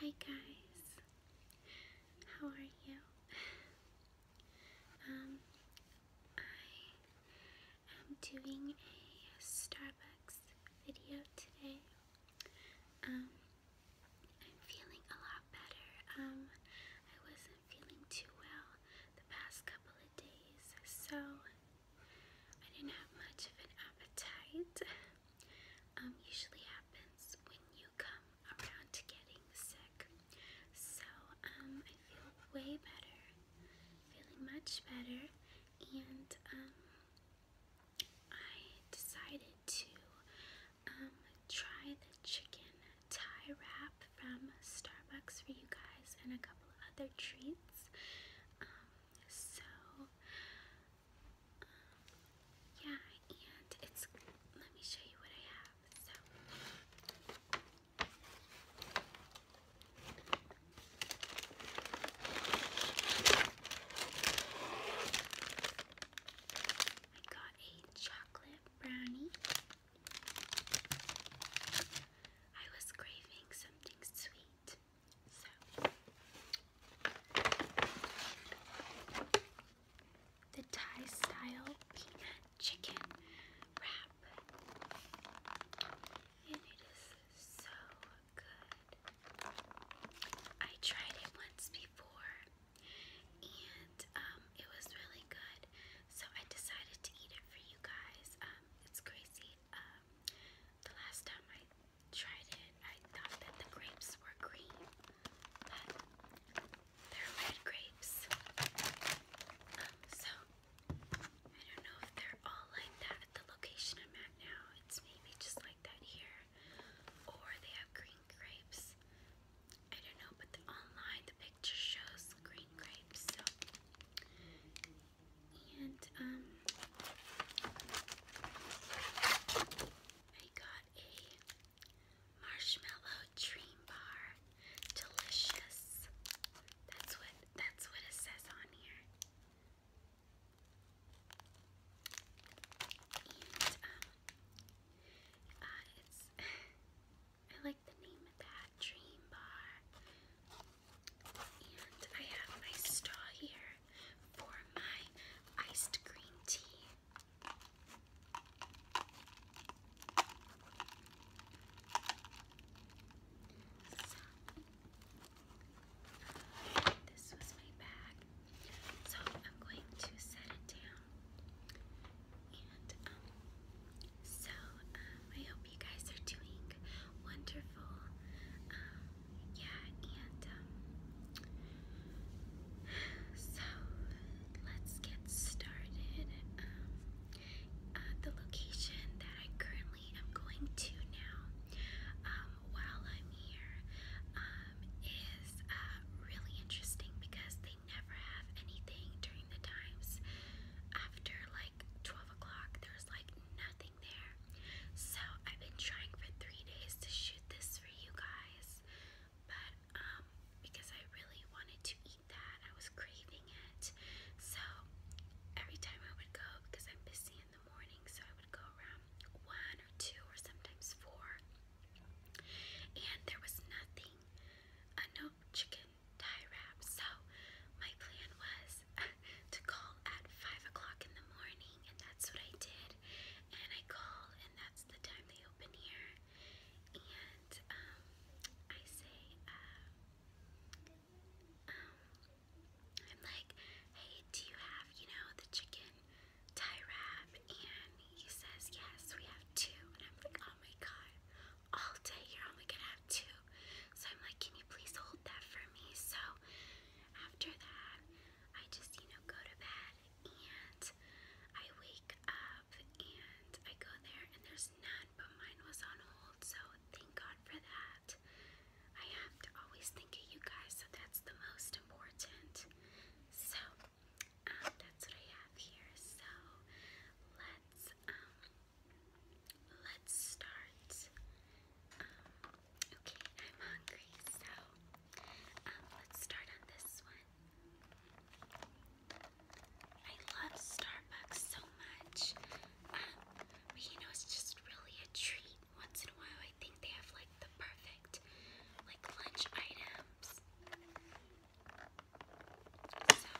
Hi guys, how are you? Um, I am doing a Starbucks video today. Um, I'm feeling a lot better. Um, I wasn't feeling too well the past couple of days, so I didn't have much of an appetite. um, usually happens when you come around getting sick. So um, I feel way better, feeling much better, and um, I decided to um, try the chicken Thai wrap from Starbucks for you guys and a couple of other treats. Um, so yeah, and let me show you what I have. So I got a chocolate brownie. I was craving something sweet the Thai style peanut chicken wrap. And it is so good. I tried it once before and um, it was really good. So I decided to eat it for you guys. Um, it's crazy. Um, the last time I tried it, I thought that the grapes were green, but they're red grapes. so, I don't know if they're all like that at the location I'm at now. It's maybe just like that here, or they have green grapes. I don't know, but online the picture shows green grapes, so. And, um, I got a marshmallow dream bar. Delicious. That's what that's what it says on here. And um uh, it's I like the name of that dream bar. And I have my straw here for my iced green tea. this was my bag. So I'm going to set it down. Um, so um, I hope you guys are doing wonderful. Um, yeah, and um, so let's get started. Um, uh, the location that I currently am going to now, um, while I'm here, is uh, really interesting because they never have anything during the times after like 12 o'clock. There's like nothing there. So I've been trying for three days to shoot this for you guys, but um, because I really wanted to eat that, I was craving it. So every time I would go, because I'm busy in the morning, so I would go around one or two or sometimes four, and there was nothing, uh, no chicken tie wrap. So my plan was to call at five o'clock in the morning and that's what I did. And I called, and that's the time they open here. And um, I say, uh, um, I'm like, hey, do you have, you know, the chicken tie wrap? And he says, yes, we have two. And I'm like, oh my god, all day you're only gonna have two. So I'm like, can you please hold that for me? So after that, I just, you know, go to bed and I wake up and I go there and there's none, but mine was on hold, so thank God for that. I have to always think of you guys, so that's the most important. So, um, that's what I have here. So, let's, um, let's start. Um, Okay, I'm hungry, so um, let's start on this one. I love Starbucks so much. Um, but you know, it's just really a treat. Once in a while, I think they have like the perfect like lunch items. So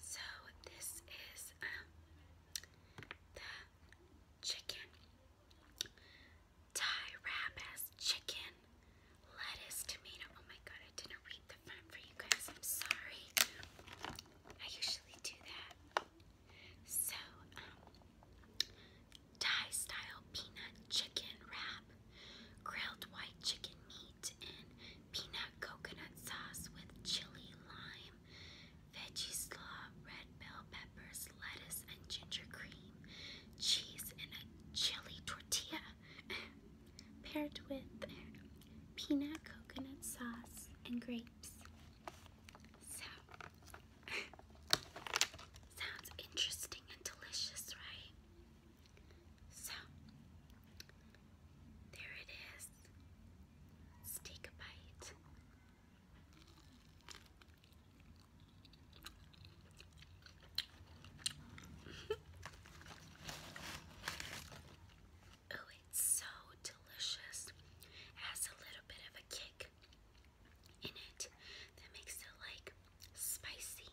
so this is um, the chicken. Thai wrap as chicken, lettuce, tomato. Oh my god, I didn't read the front for you guys. I'm sorry. I usually do that. So, um, Thai style peanut chicken wrap grilled white chicken meat in peanut coconut sauce with chili, lime, veggie slaw, red bell peppers, lettuce, and ginger cream, cheese, and a chili tortilla paired with peanut coconut sauce and grapes. So, sounds interesting and delicious, right? So, there it is. Let's take a bite. oh, it's so delicious. has a little bit of a kick in it that makes it like spicy.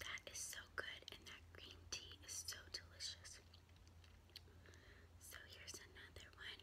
That is so good, and that green tea is so delicious. So here's another one.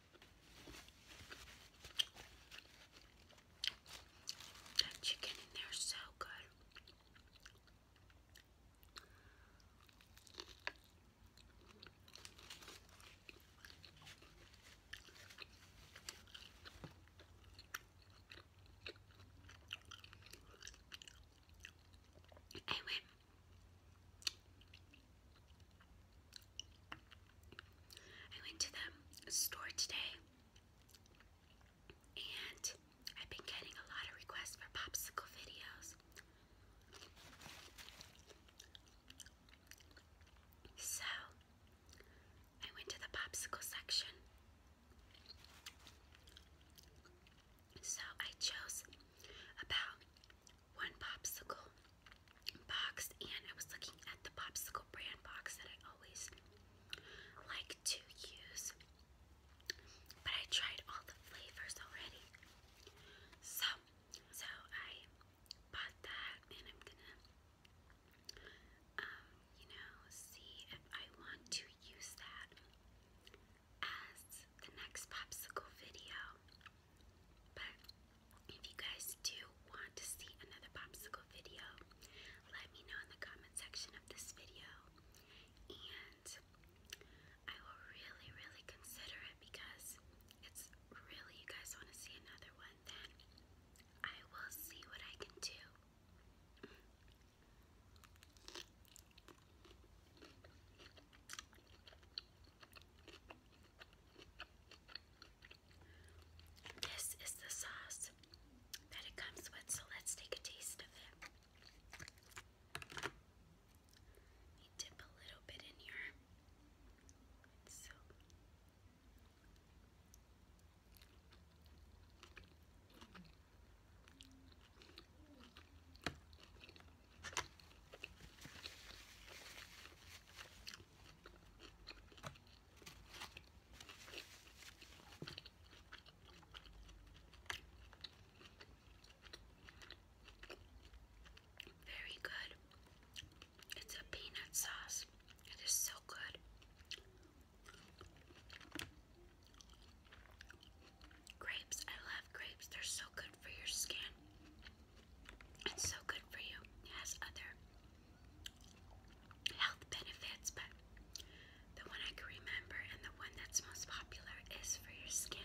That chicken in there so good. I I went to the store today and I've been getting a lot of requests for popsicle videos. So I went to the popsicle section. So I chose about one popsicle box and I was looking at the popsicle brand box that I always like to use. But I tried all the flavors already. So, so I bought that and I'm gonna um, you know, see if I want to use that as the next popsicle video. But if you guys do want to see another popsicle video, let me know in the comment section of this video. And I will really, really consider it because it's really, you guys want to see another one, then I will see what I can do. This is the sauce that it comes with, so let's take a taste of it. dip a little bit in here. So. Very good. It's a peanut sauce. It is so good. Grapes. I love grapes. They're so good for your skin. It's so good for you. It has other health benefits, but the one I can remember and the one that's most popular is for your skin.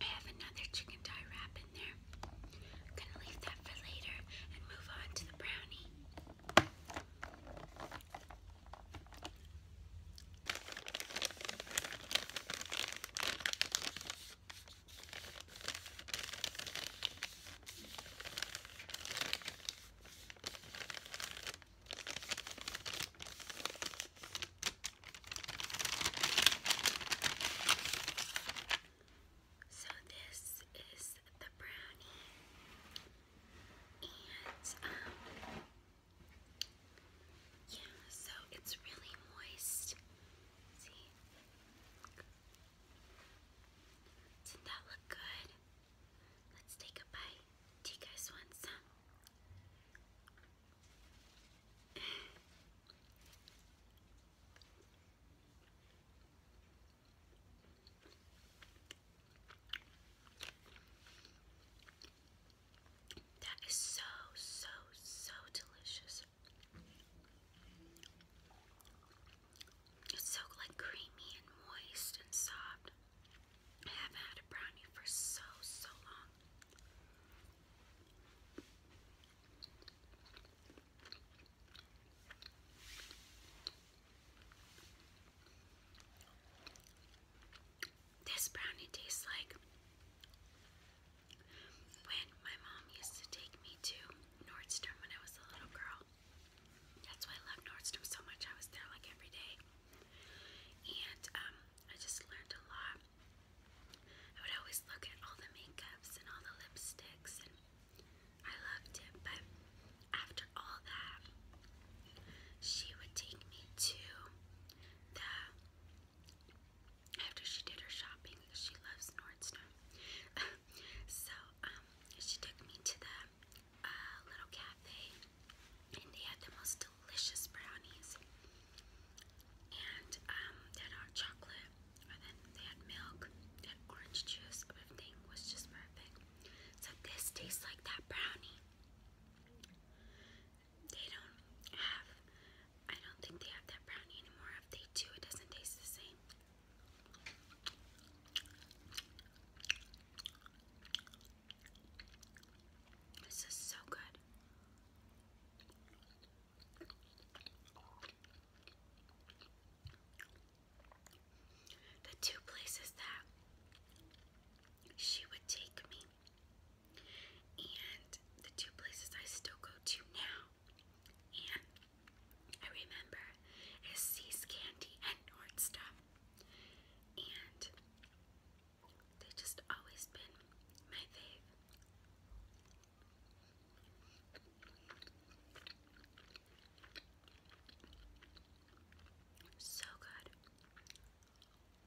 I have another chicken tie wrap in there. I'm gonna leave that for later and move on to the brownie. So, this is the brownie, and um, yeah, so it's really moist. See? Didn't that look good? Let's take a bite. Do you guys want some? That is so, so, so delicious. It's so like creamy and moist and soft. I haven't had a brownie for so, so long. This brownie tastes like when my mom used to take me to Nordstrom when I was a little girl. That's why I love Nordstrom so much. I was there like every day. And um, I just learned a lot. I would always look at all the makeups and all the lipsticks, and I loved it. But after all that, she would take me to the after she did her shopping, she loves Nordstrom. so um, she took me to the uh, little cafe, and they had the most delicious brownies. And um, they chocolate, and then they had milk, they orange juice. Everything was just perfect. So this tastes like that brownie. They don't have, I don't think they have that brownie anymore. If they it doesn't taste the same. This is so good. The two places that she would take me and the two places I still go to now, and I remember, is C's Candy and Nordstrom, and they've just always been my fave. So good.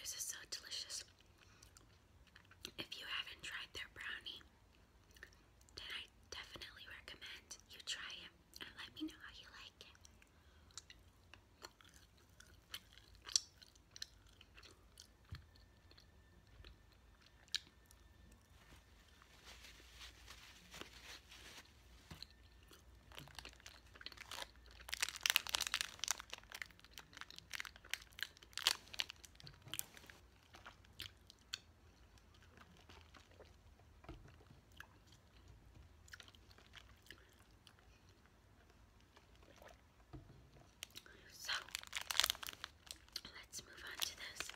This is so delicious. If you haven't tried their brownie, then I definitely recommend you try it and let me know how you like it. So let's move on to this.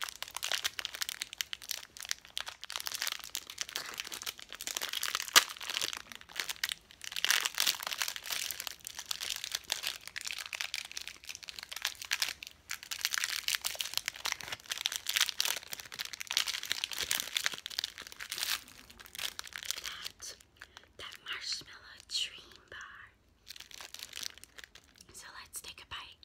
That that marshmallow dream bar. So let's take a bite.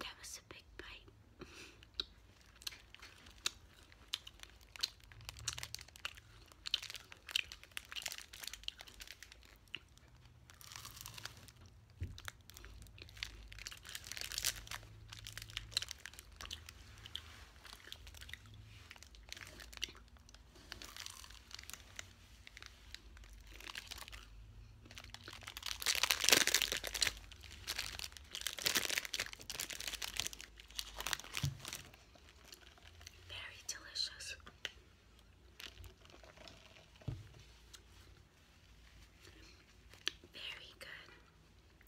That was a big bite. Very delicious. Very good.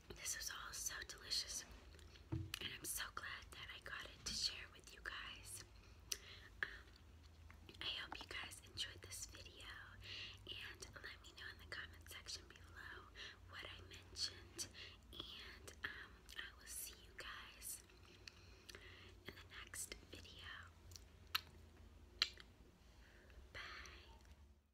This was all so delicious, and I'm so glad that I got it to share with you guys. Um, I hope you guys enjoyed this video, and let me know in the comment section below what I mentioned, and um, I will see you guys in the next video. Bye.